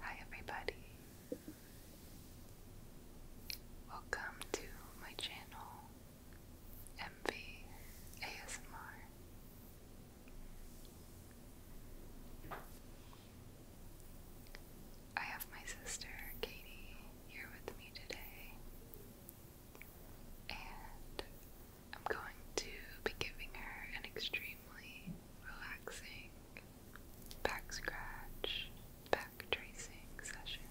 Hi, everybody. Welcome to my channel, MV ASMR. I have my sister Katie here with me today, and I'm going to be giving her an extremely relaxing back scratch, back tracing session.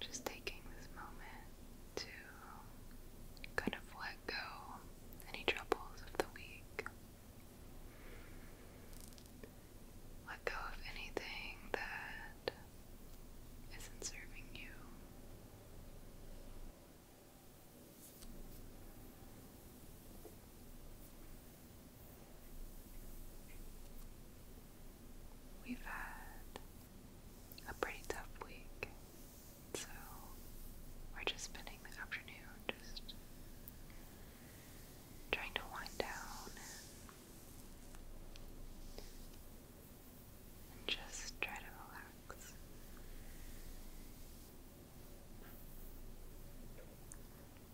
Just taking this moment to kind of let go any troubles of the week. Let go of anything that isn't serving you. We've had a pretty tough week, so we're just spending the afternoon just trying to wind down and, just try to relax.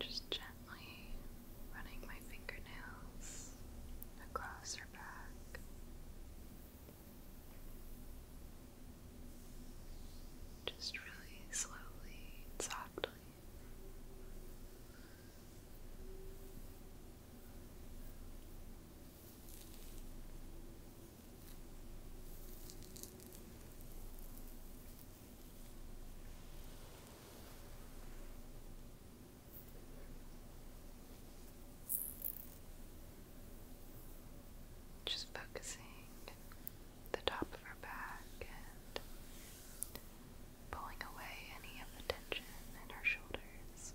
Just gently running my fingernails across her back. Just really slowly softly. Just focusing the top of her back and pulling away any of the tension in her shoulders.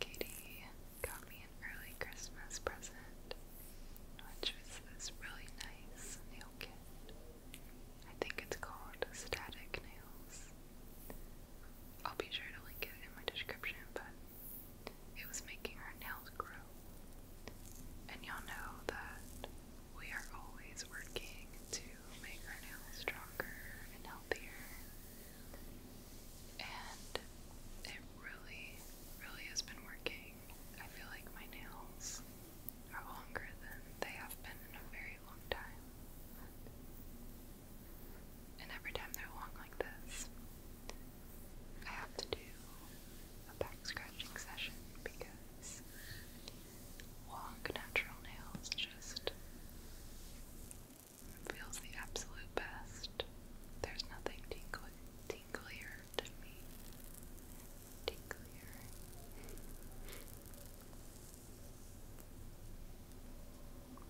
Katie got me an early Christmas present, which was this really nice nail kit. I think it's called Static Nails. I'll be sure to link it in my description, but it was making our nails grow. And y'all know that we are always working to make our nails stronger and healthier. And it really, really has been working. I feel like my nails are longer than they have been in a very long time. And every time they're long like this, I have to do a back scratching session because long natural nails just feels the absolute best. There's nothing tingly, tinglier to me. Tinglier.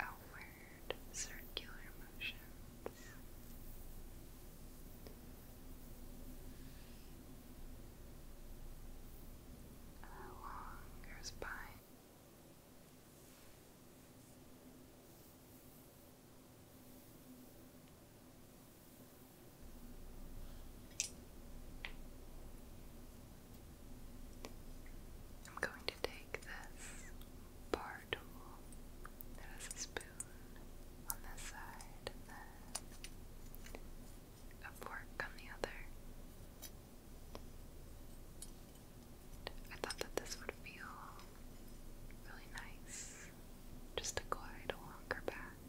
outward circular motions. Along your spine. I'm going to take this bar tool that a spoon on this side and a fork on the other. I thought that this would feel really nice just to glide along her back.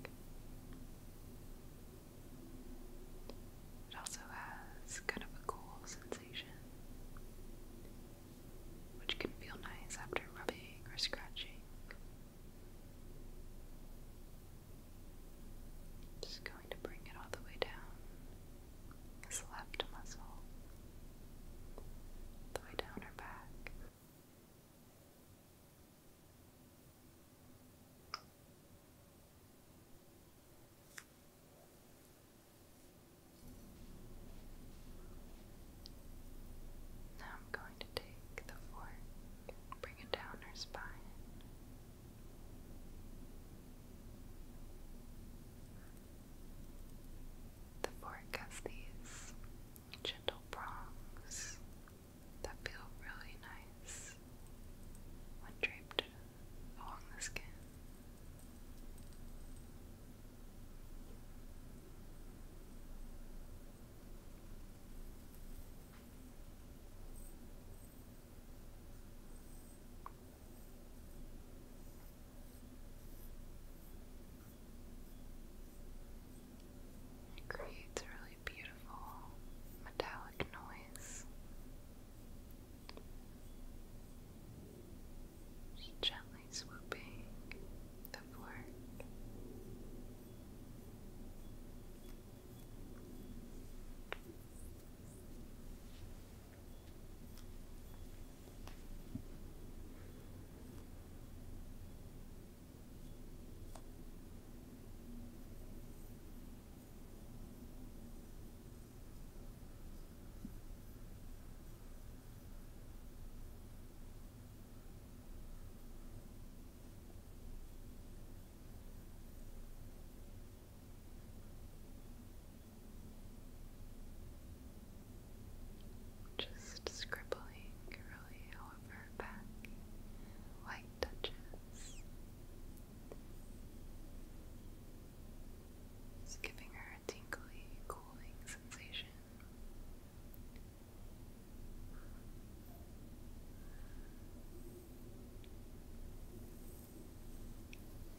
It also has kind of a cool sensation, which can feel nice after rubbing or scratching. Just going to bring it all the way down this left muscle, the way down her back. Now I'm going to take the fork, bring it down her spine. The fork has these gentle prongs that feel really nice when draped along the skin. It creates really beautiful metallic noise. gently swooping the fork. Just scribbling really over back, white touches. giving her a tingly, cooling sensation.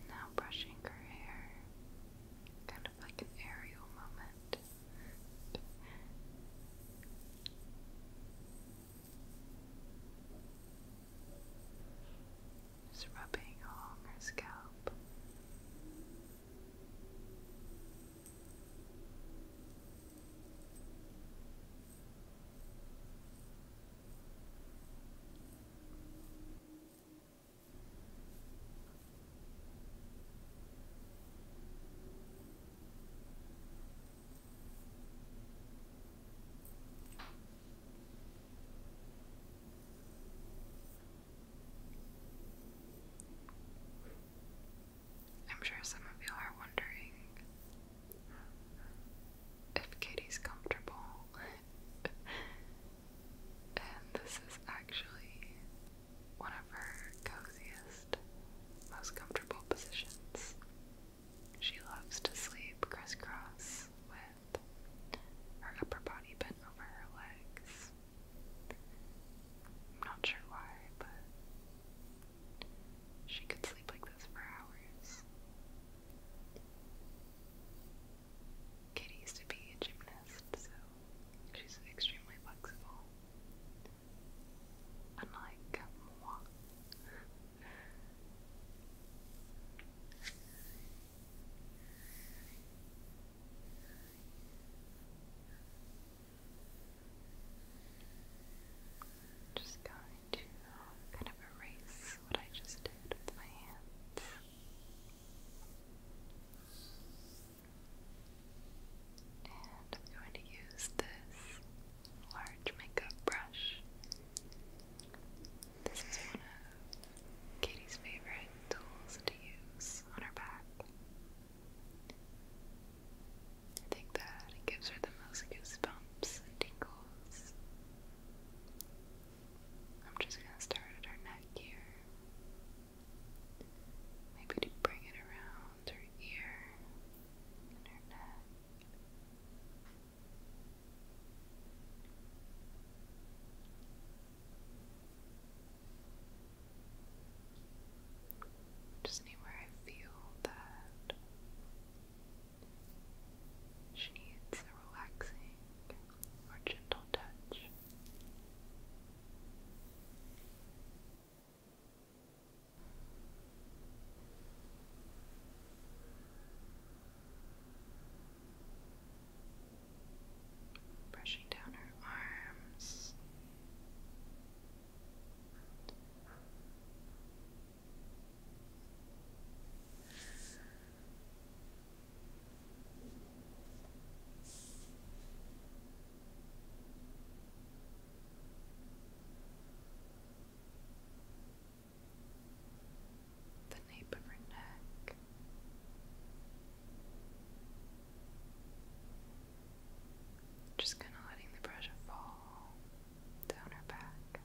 Now brushing her hair, kind of like an aerial moment. Just rubbing along her scalp. I'm sure some of you are wondering if Katie's comfortable. and this is actually one of her coziest, most comfortable positions. She loves to sleep crisscross with her upper body bent over her legs. not sure why, but she could sleep like this for hours. Kitty used to be a gymnast, so she's extremely flexible. Unlike moi, just going to um, kind of erase what I just did with my hands. And I'm going to use this large makeup brush. This is one of Katie's favorite tools to use on her back. I think that gives her the most goosebumps and tingles. I'm just gonna start at her neck here. Maybe to bring it around her ear and her neck. Just anywhere I feel that she needs a relaxing or gentle touch. Brushing down her arms the nape of her neck. Just kind of letting the pressure fall down her back.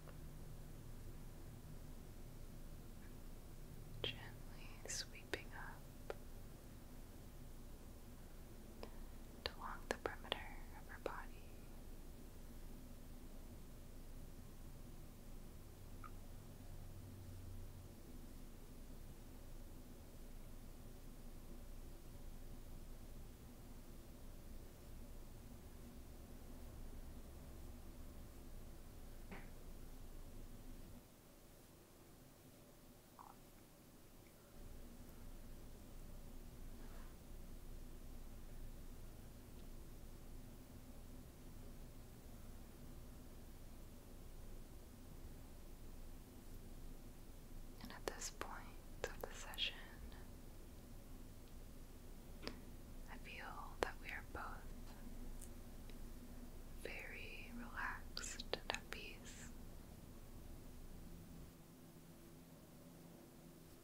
Gently sweeping up along the perimeter of her body. And at this point of the session, I feel that we are both very relaxed and at peace.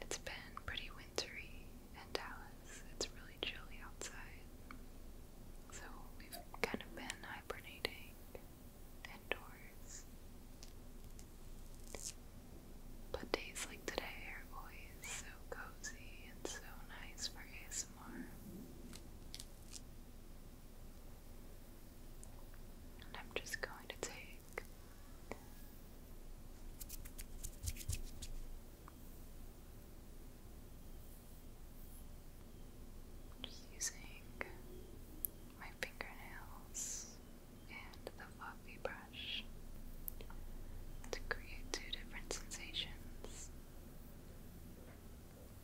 It's been pretty wintry in Dallas. It's really chilly outside. So we've kind of been hibernating indoors. But days like today are always so cozy and so nice for ASMR. And I'm just going to take just using my fingernails and the fluffy brush to create two different sensations.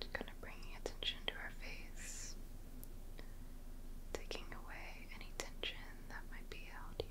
Just kind of bringing attention to her face, taking away any tension that might be held here.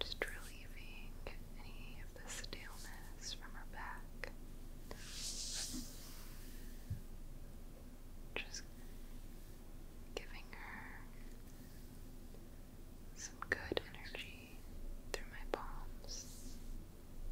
Just relieving any of the staleness from her back. Just giving her some good energy through my palms.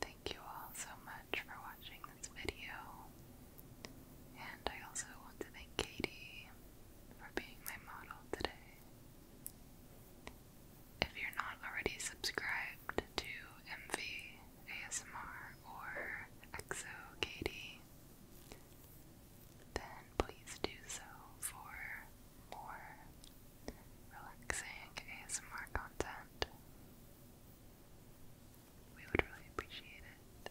Thank you all so much for watching this video. And I also want to thank Katie for being my model today. If you're not already subscribed to MV ASMR or Exo Katie, then please do so for more relaxing ASMR content. We would really appreciate it.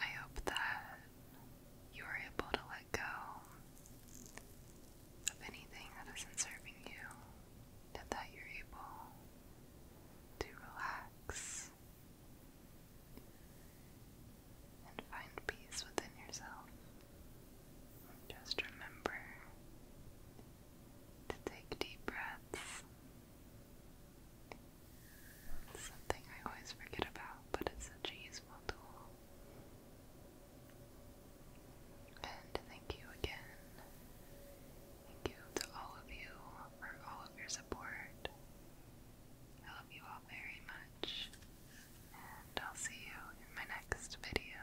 I hope that you are able to let go of anything that isn't serving you, and that you're able to relax and find peace within yourself. Just remember to take deep breaths. It's something I always forget about, but it's such a useful tool. And thank you again. Thank you to all of you for all of your support. I love you all very much, and I'll see you in my next video.